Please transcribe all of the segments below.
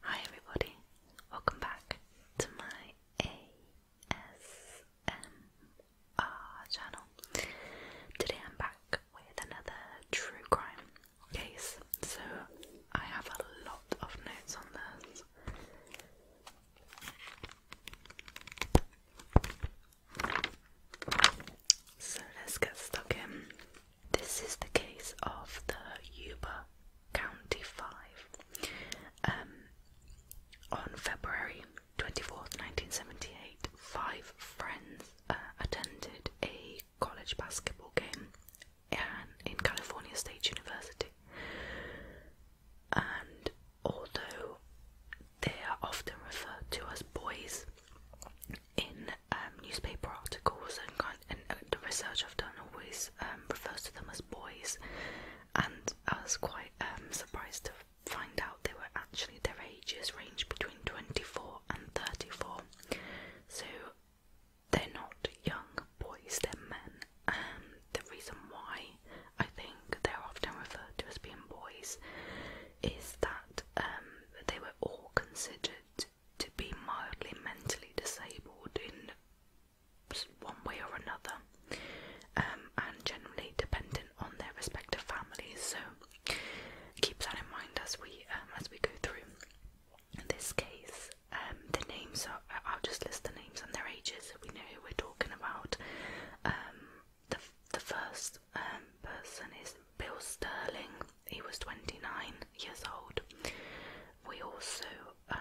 Hi everybody, welcome back to my ASMR channel. Today I'm back with another true crime case, so I have a lot of notes on this. So let's get stuck in. This is the case of the Yuba County Five. Um, on February 24th, 1978, five friends uh, attended a college basketball game and in California State University. And although they are often referred to as boys, in um, newspaper articles and, uh, the research I've done always um, refers to them as boys, and I was quite um, surprised to find out they were actually their ages range between 24 and 34. So they're not young boys, they're men. Um, the reason why I think they're often referred to as being boys is that they were all considered to be mildly mentally disabled in one way or another, um, and generally dependent on their respective families. So keep that in mind as we um, as we go through. In this case, um, the names are. I'll just list the names and their ages so we know who we're talking about. the the first person is Bill Sterling, he was 29 years old. We also um,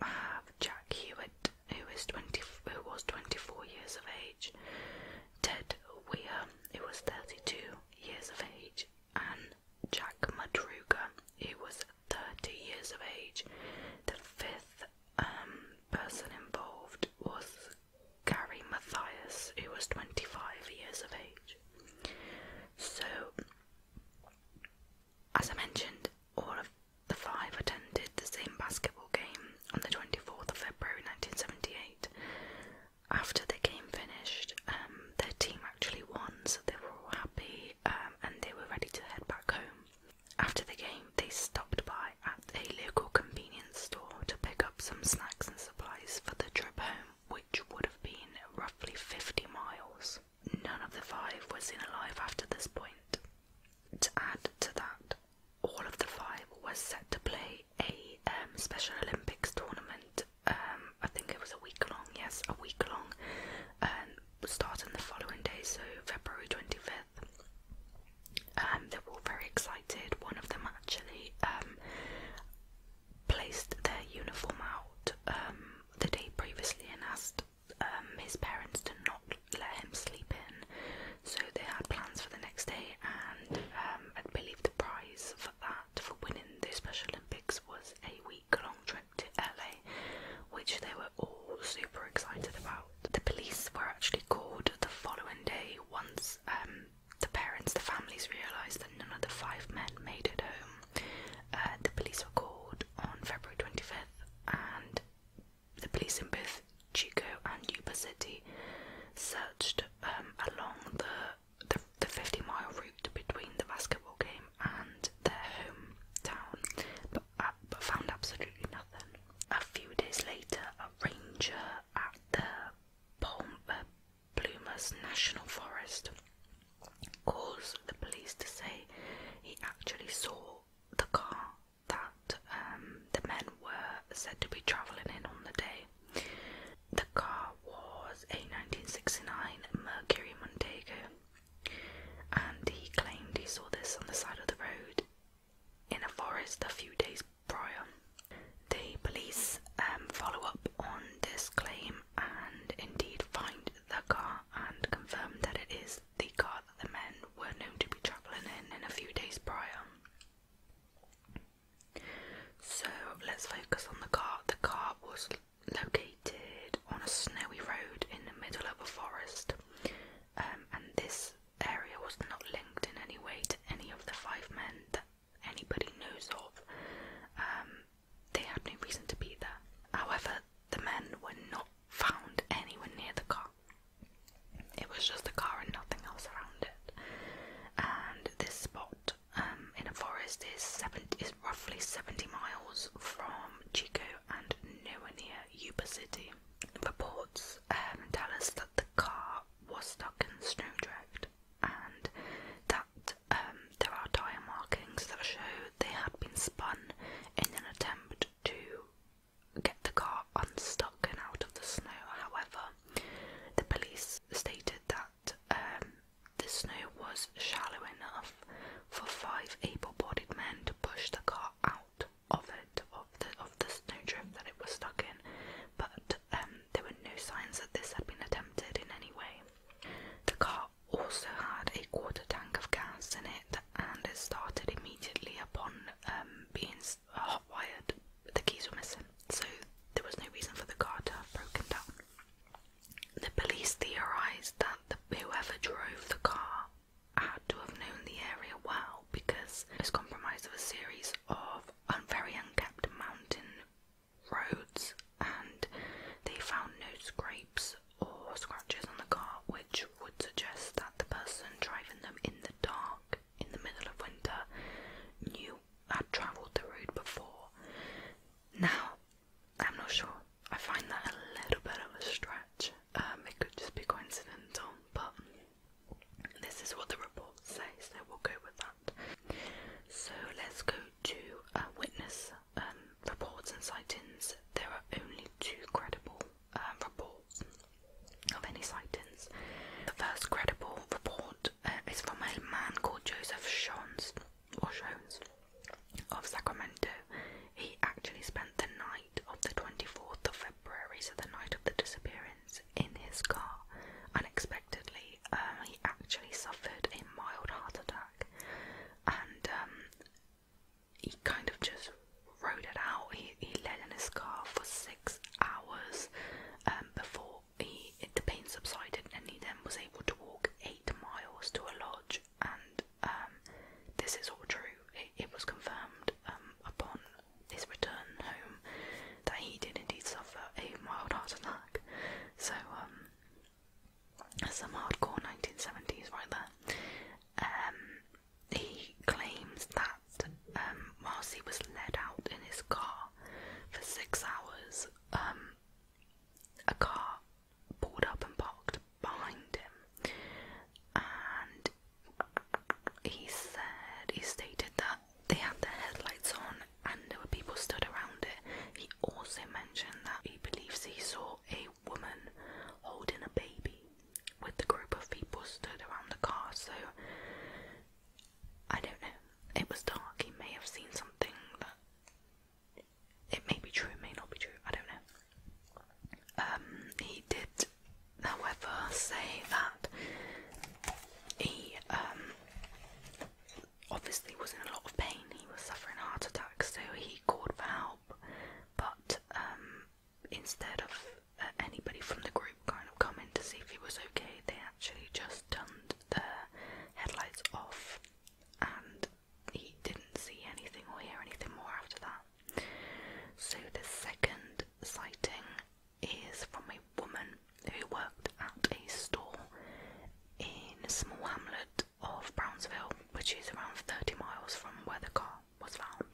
have Jack Hewitt, who is 20, who was 24 years of age. Ted Weir, who was 32 years of age, and Jack Madruga, who was 30 years of age. The fifth um, person involved was Gary Mathias, who was 25 years of age. So, as I mentioned, all of the five attended the same basketball game on the 24th of February 1978. After the game finished, um, their team actually won, so they were all happy um, and they were ready to head back home. After the game, they stopped by at a local convenience store to pick up some snacks and supplies for the trip home which would have been roughly 50 miles. None of the five were seen alive after this point. To add to that, all of the five were set to play a um, Special Olympics tournament. Um, I think it was a week long, yes, a week long, um, starting the following day, so February 25th. And um, they were all very excited. One of them actually placed their uniform out um, the day previously and asked um, his parents to not let him sleep in. So they had plans for the next day, and um, I believe the prize for that, for winning the Special Olympics, was a week long trip to LA, which they were all super excited about. The police were actually called the following day once the parents, the families realised that none of the five men made it home. Uh, the police were called on February 25th, and the police in both Chico and Yuba City searched um, along the, the 50 mile route between the basketball game and their hometown, but, uh, found absolutely nothing. A few days later, a ranger at the Palm, uh, Blumers National Forest caused the police to say he actually saw the car that um, the men were said to be travelling in on the day. The car was a 1969 Mercury Montego, and he claimed he saw this on the side of the road in a forest a few days prior. The police um, follow up on this claim and indeed find the car and confirm that it is the car that the men were known to be travelling in in a few days prior. So let's focus on the car. The car was located on a snowy road in the middle of a forest, um, and this area was not linked in any way to any of the five men anybody knows of. Um, they had no reason to be there. However, the men were not found anywhere near the car. It was just the car and nothing else around it. And this spot um, in a forest is, 70, is roughly 70 miles from Chico and nowhere near Yuba City. Reports um, tell us that the car was stuck in the snowdrift and that. Um, there are tire markings that show they had been spun in an attempt to get the car unstuck and out of the snow. However, the police stated that um, the snow was shallow enough for five able-bodied men to push the car out of it, of the of the snowdrift that it was stuck in, but um, there were no signs that this had been attempted in any way. The car also had a quarter tank of gas in it and it started immediately upon um, being uh, hot wired. The keys were missing, so there was no reason for the car to have broken down. The police theorised that whoever drove the car had to have known the area well because it's comprised of a series of very unkept mountain roads and they found no scrapes or scratches on the car, which would suggest that the person driving them in the dark in the middle of winter knew had travelled the route before. Now, I'm not sure. I find that a little bit of a stretch. Um, it could just be coincidental, but this is what the report says, so we'll go with that. So let's go to uh, witness um, reports and sightings. There are only two credible um, reports of any sightings. The first credible report uh, is from a man called Joseph Shones, or Shones of Sacramento. He actually spent the night of the 24th of February, so the night of the disappearance, in his car, unexpectedly uh, he actually suffered a mild heart attack, and um, he kind of just rode it out. He he lay in his car for six hours um, before he the pain subsided, and he then was able to walk eight miles to a lodge. And um, this is all true. It, was confirmed um, upon his return home that he did indeed suffer a mild heart attack. So, um, some hardcore 1970s right there. Um, he claims that um, whilst he was led out in his car for six hours, um, a car pulled up and parked behind him, and he said he stated that they had their headlights on and there were people stood around it. He also mentioned that he believes he saw a woman holding a baby with the group of people stood around the car, so I don't know. It was dark, he may have seen something that it may be true, It may not be true, I don't know. Um, he did however say that he um, obviously was in a lot of pain. He was suffering a heart attack, so he called for help. But um, instead of uh, anybody from the group kind of coming to see if he was okay, they actually just turned their headlights off, and he didn't see anything or hear anything more after that. So the second sighting is from a woman who worked at a store in a small hamlet of Brownsville, which is around 30 miles from where the car was found.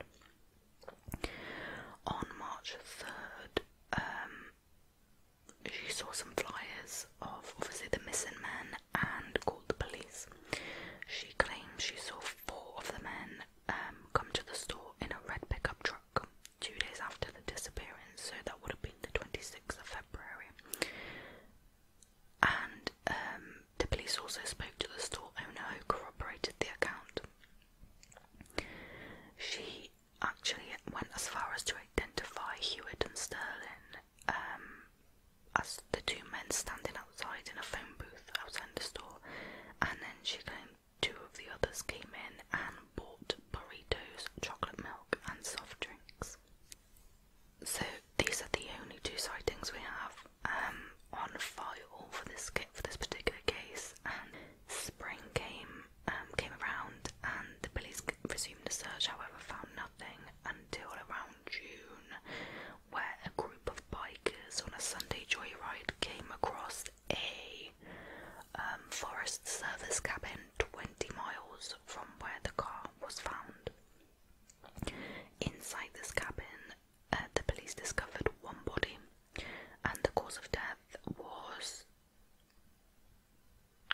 On March 3rd, um, she saw some flyers of obviously the missing man and called the police. She claims she saw four of the men um, come to the store in a red pickup truck two days after the disappearance, so that would have been the 26th of February. And um, the police also spoke to the store owner who corroborated the account. She actually went as far as to identify Hewitt and Sterling um, as the two men standing outside in a phone booth outside the store, and then she claimed two of the others came in and bought burritos, chocolate milk, and soft drinks. So these are the only two sightings we have um, on file for this for this particular case. And spring came um, came around, and the police resumed the search. However, found nothing until around June, where a group of bikers on a Sunday joyride came across a um, forest Service cabin 20 miles from where the car was found. Inside this cabin, uh, the police discovered one body, and the cause of death was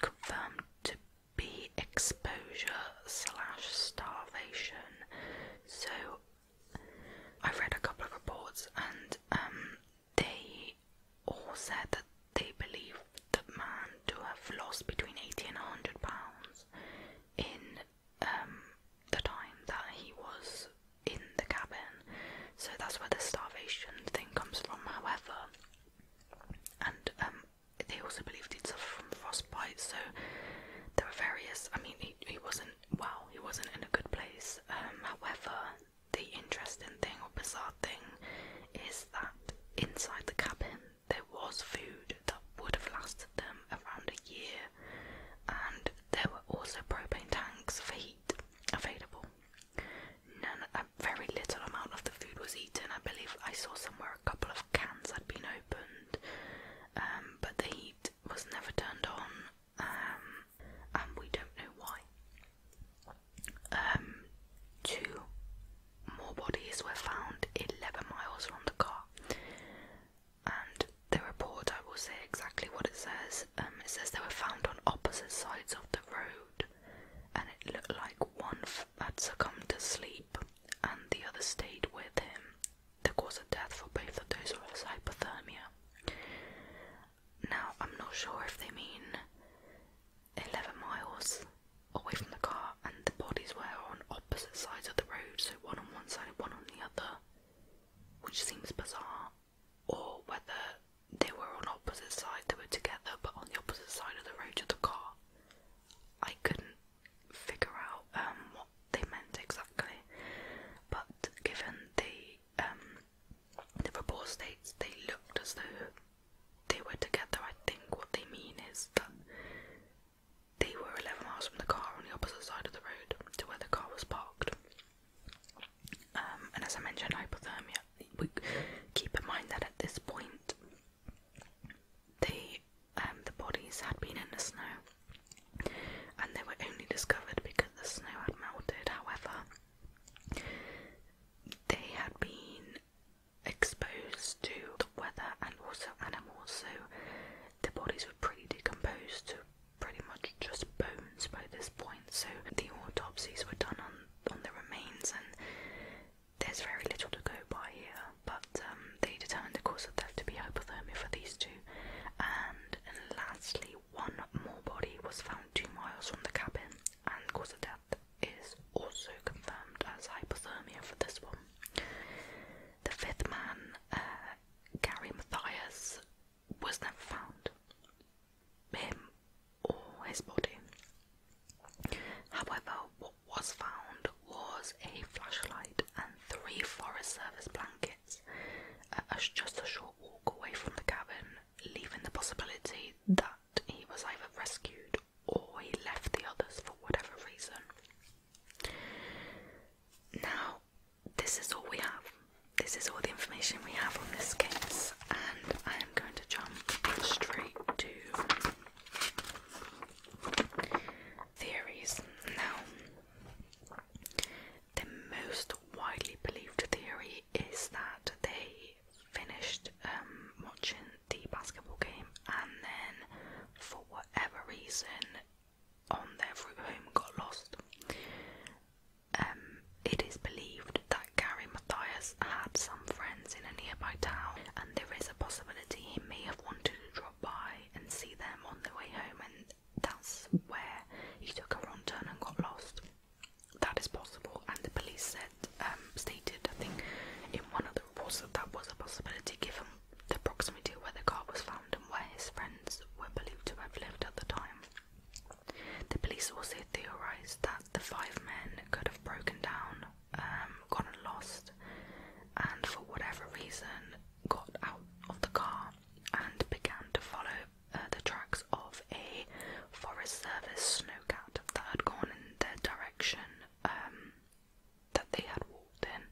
confirmed to be exposure slash starvation. So, I've read a couple of reports, and um, they all said that they believed the man to have lost between 80 and 100 pounds in um, the time that he was in the cabin. So that's where the starvation thing comes from, however. And um, they also believed he'd suffer from frostbite, so there were various. I mean, he, he wasn't well, he wasn't in a good place. Um, however, the interesting thing or bizarre thing is that inside the cabin there was food that would have lasted them around a year, and there were also propane tanks for heat available. None, a very little amount of the food was eaten. I believe I saw somewhere a couple of cans had been opened, um, but the heat was never turned on, um, and we don't know why. Um, two more bodies were found 11 miles from the car, and the report I will say exactly what it says. Um, it says they were found on opposite sides of the road, and it looked like one had succumbed to sleep and the other stayed with him. The cause of death for both of those was hypothermia. Now, I'm not sure if they mean 11 miles away from the car, and the bodies were on opposite sides of the road, so one on one side and one on the other, which seems bizarre. Or whether they were on opposite sides, they were together but on the opposite side of the road of the car. I couldn't figure out um, what they meant exactly, but given the um, the report states they looked as though they were together, I think what they mean is that they were 11 miles from the car on the opposite side of the road to where the car was parked. Um, and as I mentioned, hypothermia. We keep in mind that at this point, they, um, the bodies had been in the snow, and they were only discovered because the snow had melted. However, they had been exposed to the weather and also animals, so their bodies were pretty decomposed to pretty much just bones by this point. So the autopsies were done on, on the remains, and there's very little to go by here. But um, they determined the cause of death to be hypothermia for these two. And, and lastly, one more body was found two miles from the cabin, and cause of death is also confirmed as hypothermia for this one. The fifth man, uh, Gary Matthias, was never found. Him or his body. However, what was found was a flashlight and three Forest Service blankets, uh, just a short walk away from the cabin leaving the possibility that he was either rescued or he left the others for whatever reason. Now, this is all we have. This is all the information we have on this case, and I am going to jump straight to theories. Now, the most widely believed theory is that they finished um, watching the basketball game and then, for whatever reason, on their route home got lost. Um, it is believed that Gary Mathias had some friends in a nearby town, and there is a possibility he may have wanted to drop by and see them on their way home, and that's where he took a wrong turn and got lost that is possible, and the police said, um, stated, I think, in one of the reports that that was a possibility given the proximity of where the car was found and where his friends were believed to have lived at the time. The police also theorised that the five men could have broken down, um, gone and lost, and for whatever reason got out of the car and began to follow uh, the tracks of a Forest Service snowcat that had gone in their direction um, that they had walked in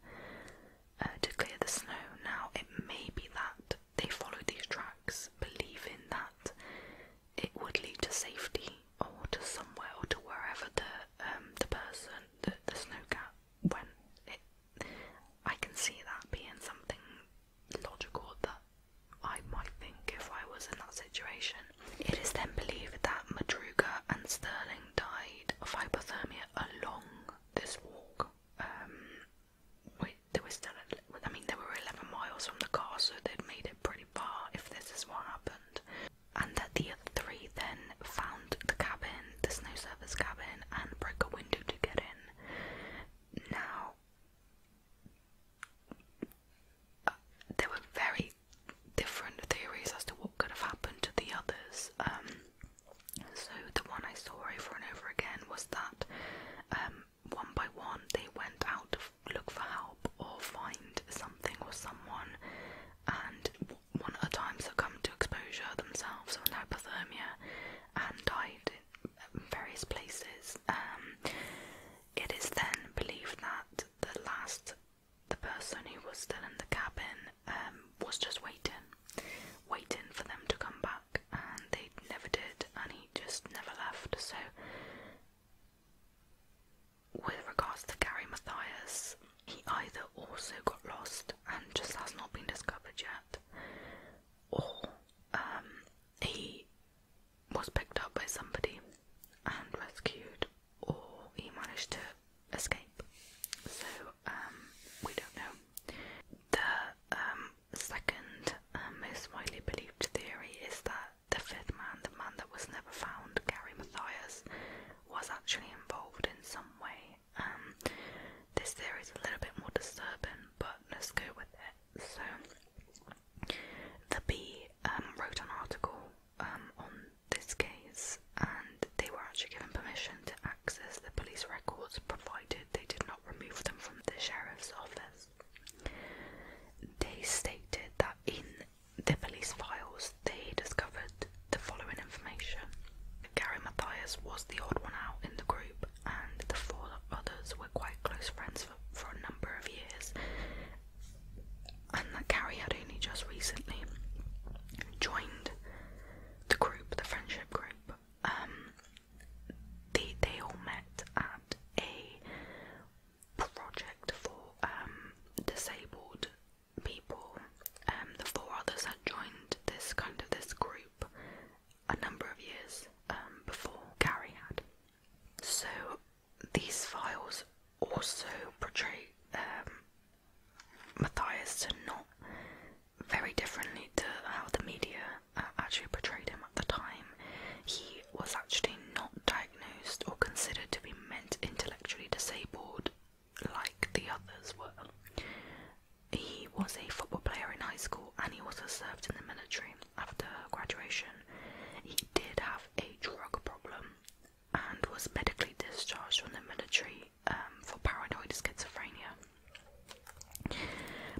uh, to clear the snow. Now, it may be that they followed these tracks believing that it would lead to safety or to somewhere or to wherever the, um, the person, the, the snowcat went. It, I can see that being something logical that I might think if I was in that situation. It is then believed that Madruga and Sterling died of hypothermia along this walk. Um, we, they were still, I mean, they were 11 miles from the car, so they'd made it pretty far if this is what happened. And that the other three then found the cabin, the snow surface cabin, and broke a window to get in. Now, there were very different theories as to what could have happened to the others. Um, so the one I saw over and over again was that um, one by one they went out to look for help or find something or someone, and one at a time come to exposure themselves on hypothermia and died in various places. Um, it is then believed that the last, the person who was still in the cabin, um, was just waiting, waiting for them to come back, and they never did, and he just never left. So, with regards to Gary Matthias, he either also got lost and just has not been discovered yet, or um, he was picked up by somebody and rescued, or he managed to escape. So um, we don't know. The um, second um, most widely believed theory is that the fifth man, the man that was never found, Gary Mathias, was actually involved in some way. Um, this theory is a little bit more disturbing, but let's go with it. So, the Bee um, wrote an article um, on this case, and they were actually given permission to access the police records provided they did not remove them from the sheriff's office. They stated that in the police files they discovered the following information. Gary Mathias was the odd one out in the group, and the four others were quite close friends for, for a number of years, and that Gary had only just recently joined the group, the friendship group. Um, they they all met at a project for um, disabled people. and um, the four others had joined this kind of this group a number of years before Carrie had. So these files also portray um, Matthias to not very differently to how the media uh, actually portrayed him at the time. He was actually not diagnosed or considered to be meant intellectually disabled like the others were. He was a football player in high school and he also served in the military after graduation. He did have a drug problem and was medically discharged from the military um, for paranoid schizophrenia.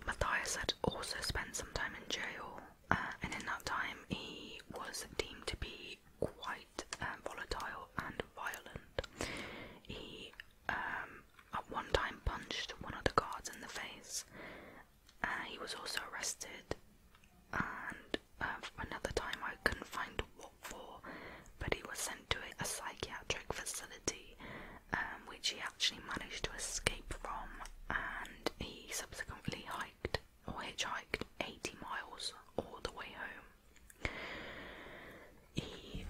Matthias had also spent some time in jail, uh, and in that time, he was deemed to be quite um, volatile and violent. He um, at one time punched one of the guards in the face uh, he was also arrested, and uh, another time I couldn't find what for, but he was sent to a psychiatric facility, um, which he actually managed to escape from, and he subsequently hiked or hitchhiked 80 miles all the way home. He,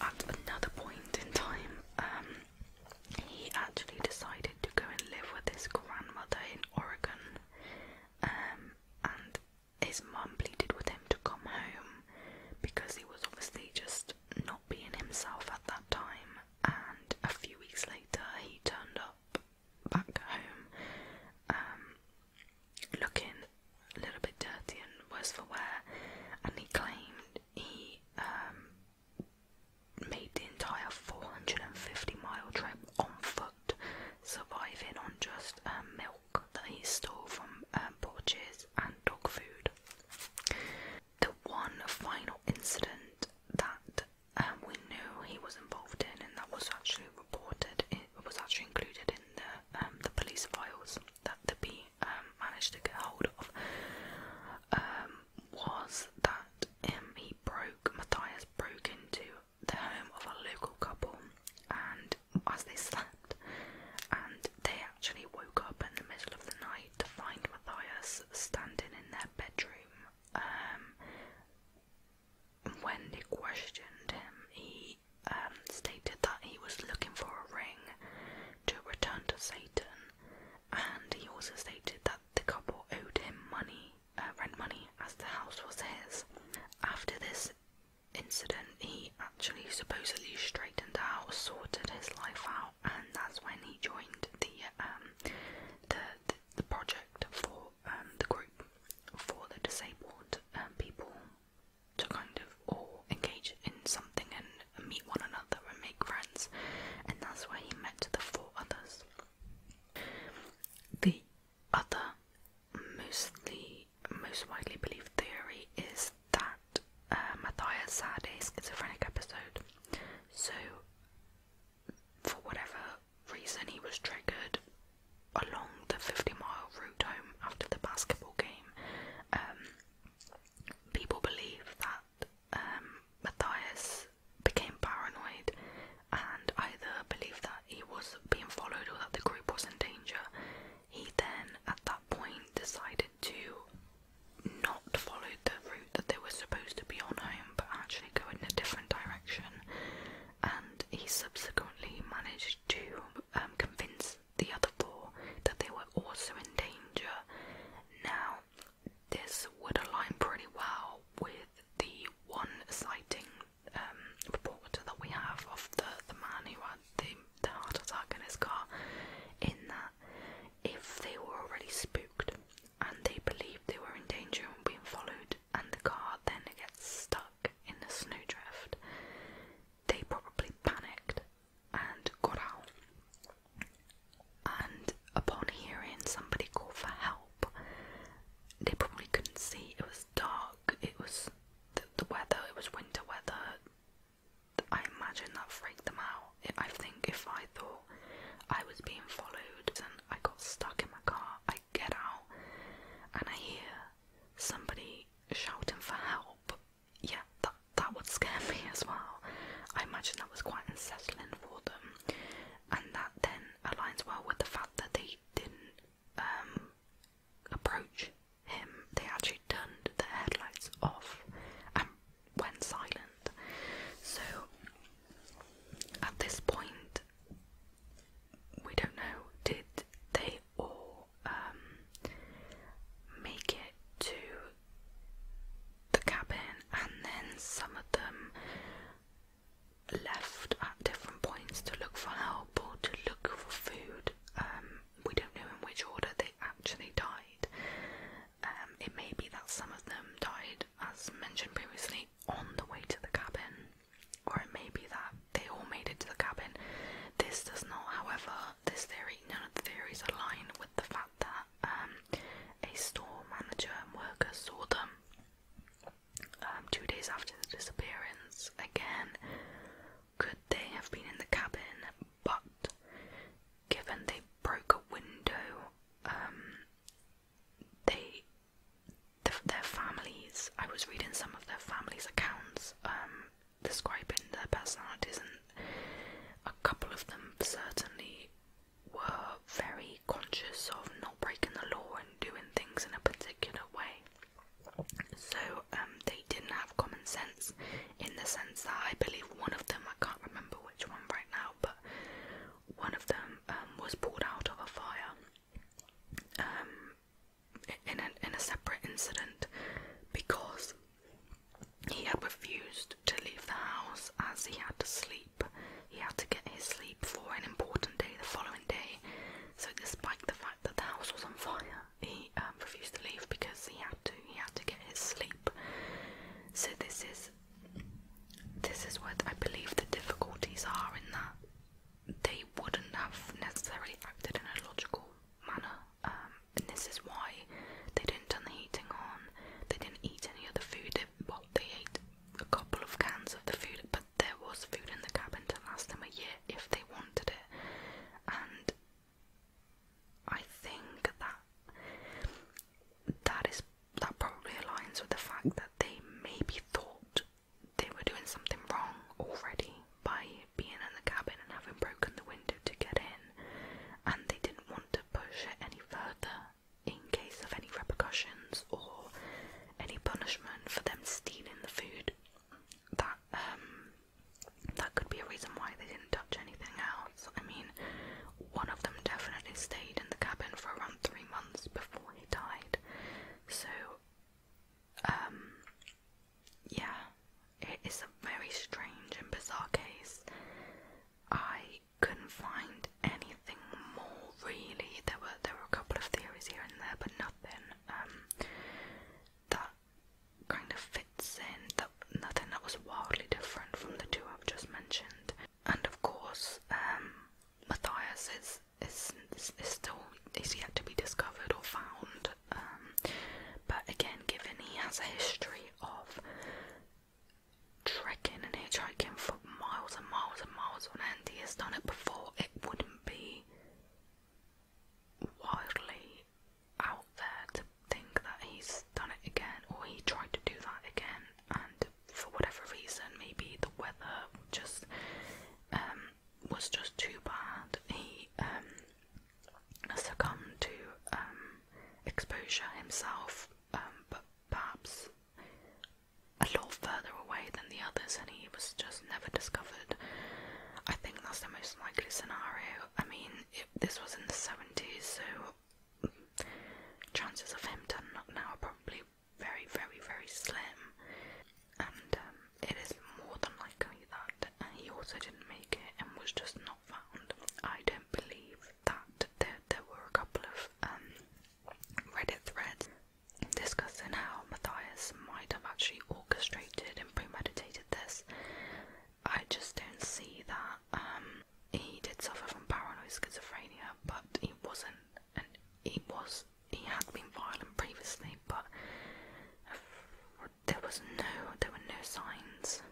at another point in time, um, he actually decided to go and live with his grandmother in Oregon. Um, and his mum pleaded with him to come home because he was obviously just not being himself at that time. And a few weeks later, he turned up back home, um, looking a little bit dirty and worse for wear. And he claimed he um, made the entire 450 mile trip on foot, surviving on just um, milk that he stole from um, porches and dog food. The one final incident that um, we knew he was involved in, and that was actually reported, it was actually included in the the police files that the bee managed to get hold of, was that um, he broke, Matthias broke into the home of a local couple and as they slept and they actually woke up in the middle of the night to find Matthias standing in their bedroom. Um, when they questioned him, he um, stated that he was looking for a ring to return to Satan and he also stated that the couple owed him money uh, rent money as the house was his. After this incident, he actually supposedly straightened out, sorted his life out, and that's when he joined the um, the, the project for um, the group for the disabled um, people to kind of all engage in something and meet one another and make friends, and that's where he met the four others. The other mostly most widely believed theory is that uh, Matthias had a schizophrenic episode. So for whatever reason he was triggered along the 50 mile route home after the basketball game. Um, people believe that um, Matthias became paranoid and either believed that he was being followed or that the group was in danger. He then, at that point, decided to not follow the route that they were supposed to be on home but actually go in a different direction. And he subsequently managed to um, convince the other four that they were also in danger. Now, this would align pretty well with the one sighting um, report that we have of the, the man who had the, the heart attack in his car, in that if they were already spooked and they believed they were in danger and being followed, and the car then gets stuck in a snowdrift, they probably panicked and got out and upon hearing somebody call for help, they probably couldn't see. It was dark, it was the, weather, it was winter weather. I imagine that freaked them out. I think if I thought I was being followed and I got stuck in my car, I get out and I hear somebody shouting for help. Yeah, that, that would scare me as well. I imagine that was quite unsettling for them, and that then aligns well with the fact that they didn't um, approach him. They actually turned the headlights off and went silent. So at this point, we don't know did they all um, make it to the cabin, and then some of them left at different points to look for help or to look for food. Um, we don't know in which order they actually died. Um, it may be that some of them died, as mentioned previously, on the way to the cabin, or it may be that they all made it to the cabin. This does not, however, this theory, none of the theories align with the fact that um, a store manager and worker saw them um, two days after the disappearance. Again, could they have been in the cabin? But given they broke a window, um, they their families. I was reading some of their families' accounts, um, describing their personalities, and a couple of them certainly were very conscious of not breaking the law and doing things in a particular way. So um, they didn't have common sense in the sense that I believe one of them, I can't remember which one right now, but one of them um, was pulled out of a fire um, in, a, in a separate incident because he had refused to leave the house as he had to sleep he had to get his sleep for an important day the following day, so despite the fact that the house was on fire, he um, refused to leave because he had to. He had to get his sleep. So this is this is what I believe the difficulties are in that they wouldn't have necessarily acted in a logical manner, um, and this is why they didn't turn the heating on. They didn't eat any other food. They well, they ate a couple of cans of the food, but there was food in the cabin to last them a year if they wanted it. And I think that that is that probably aligns with the fact that they maybe thought they were doing something wrong already by being in the cabin and having broken the window to get in, and they didn't want to push it any further in case of any repercussions or any punishment for them stealing the food. That um that could be a reason why they didn't touch anything else. I mean, one of them definitely stayed in the cabin for around three months before he died. So um yeah, it is a very strange and bizarre case. I couldn't find anything more really. There were there were a couple of theories here and there, but nothing um, that kind of fits in. That nothing that was wildly different from the two I've just mentioned. And of course, um, Matthias is, is is still is yet to be discovered or found. Um, but again, given he has a history of Tricking and hitchhiking for miles and miles and miles on end. He has done it before. It wouldn't be wildly out there to think that he's done it again or he tried to do that again. And for whatever reason, maybe the weather just um, was just too bad. He um, succumbed to um, exposure himself, but perhaps a lot further away than the others and he was just never discovered. I think that's the most likely scenario. I mean, if this was in the 70s, so chances of him turning up now are probably very, very, very slim. And um, it is more than likely that he also didn't make it and was just not found. I don't believe that there, were a couple of um, Reddit threads discussing how Matthias might have actually orchestrated and premeditated this. I just don't see that. Um, he did suffer from paranoid schizophrenia, but he wasn't, and he was, he had been violent previously, but uh, there was no, there were no signs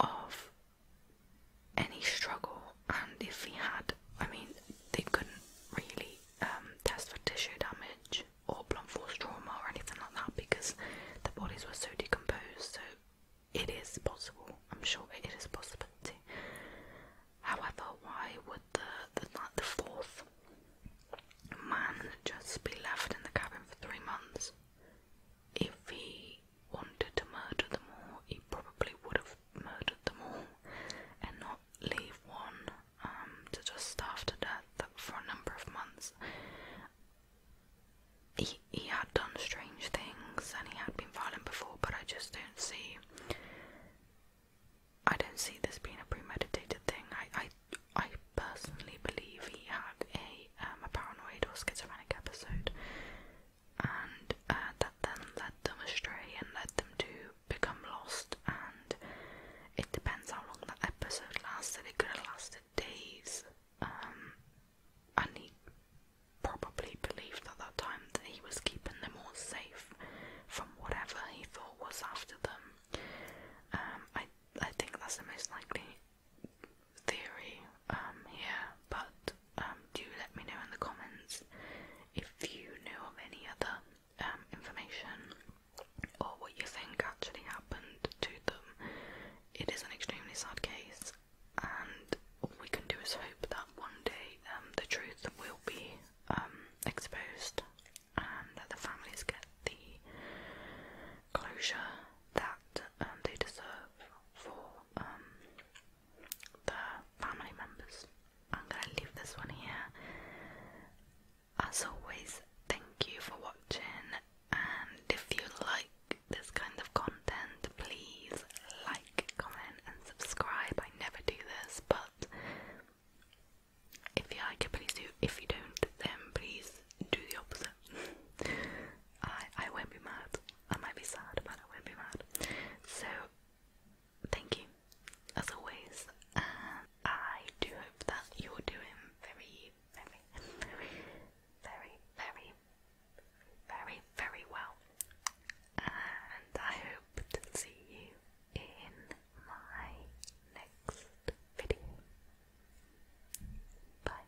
of any struggle, and if he had, I mean, they couldn't really um, test for tissue damage or blunt force trauma or anything like that because the bodies were so decomposed. So it is possible. I'm sure it is a possibility. However, why would the the, the fourth man just be left in the cabin for three months? if he wanted to murder them all, he probably would have murdered them all and not leave one um, to just starve to death for a number of months. He, he had done strange things and he had been violent before, but I just don't see. I don't see this being a premeditated thing. I, I, I personally believe he had a um, a paranoid or schizophrenic episode, and uh, that then led them astray and led them to become lost. And it depends how long that episode lasted. It could have lasted days. Um, and he probably believed at that time that he was keeping them all safe from whatever he thought was after them. Um, I I think that's the most likely theory um, but um, do let me know in the comments if you know of any other um, information or what you think actually happened to them. It is an extremely sad case, and all we can do is hope that one day um, the truth will be exposed and that the families get the closure that um, they deserve for um, their family members. I'm gonna leave this one here. As always, thank you for watching, and if you like this kind of content, please like, comment, and subscribe. I never do this, but if you like it, please do. If you don't, then please do the opposite. I I won't be mad. I might be sad, but I won't be mad. So thank you, as always. I do hope that you're doing very, very, very, very, very, very, very well. And I hope to see you in my next video. Bye.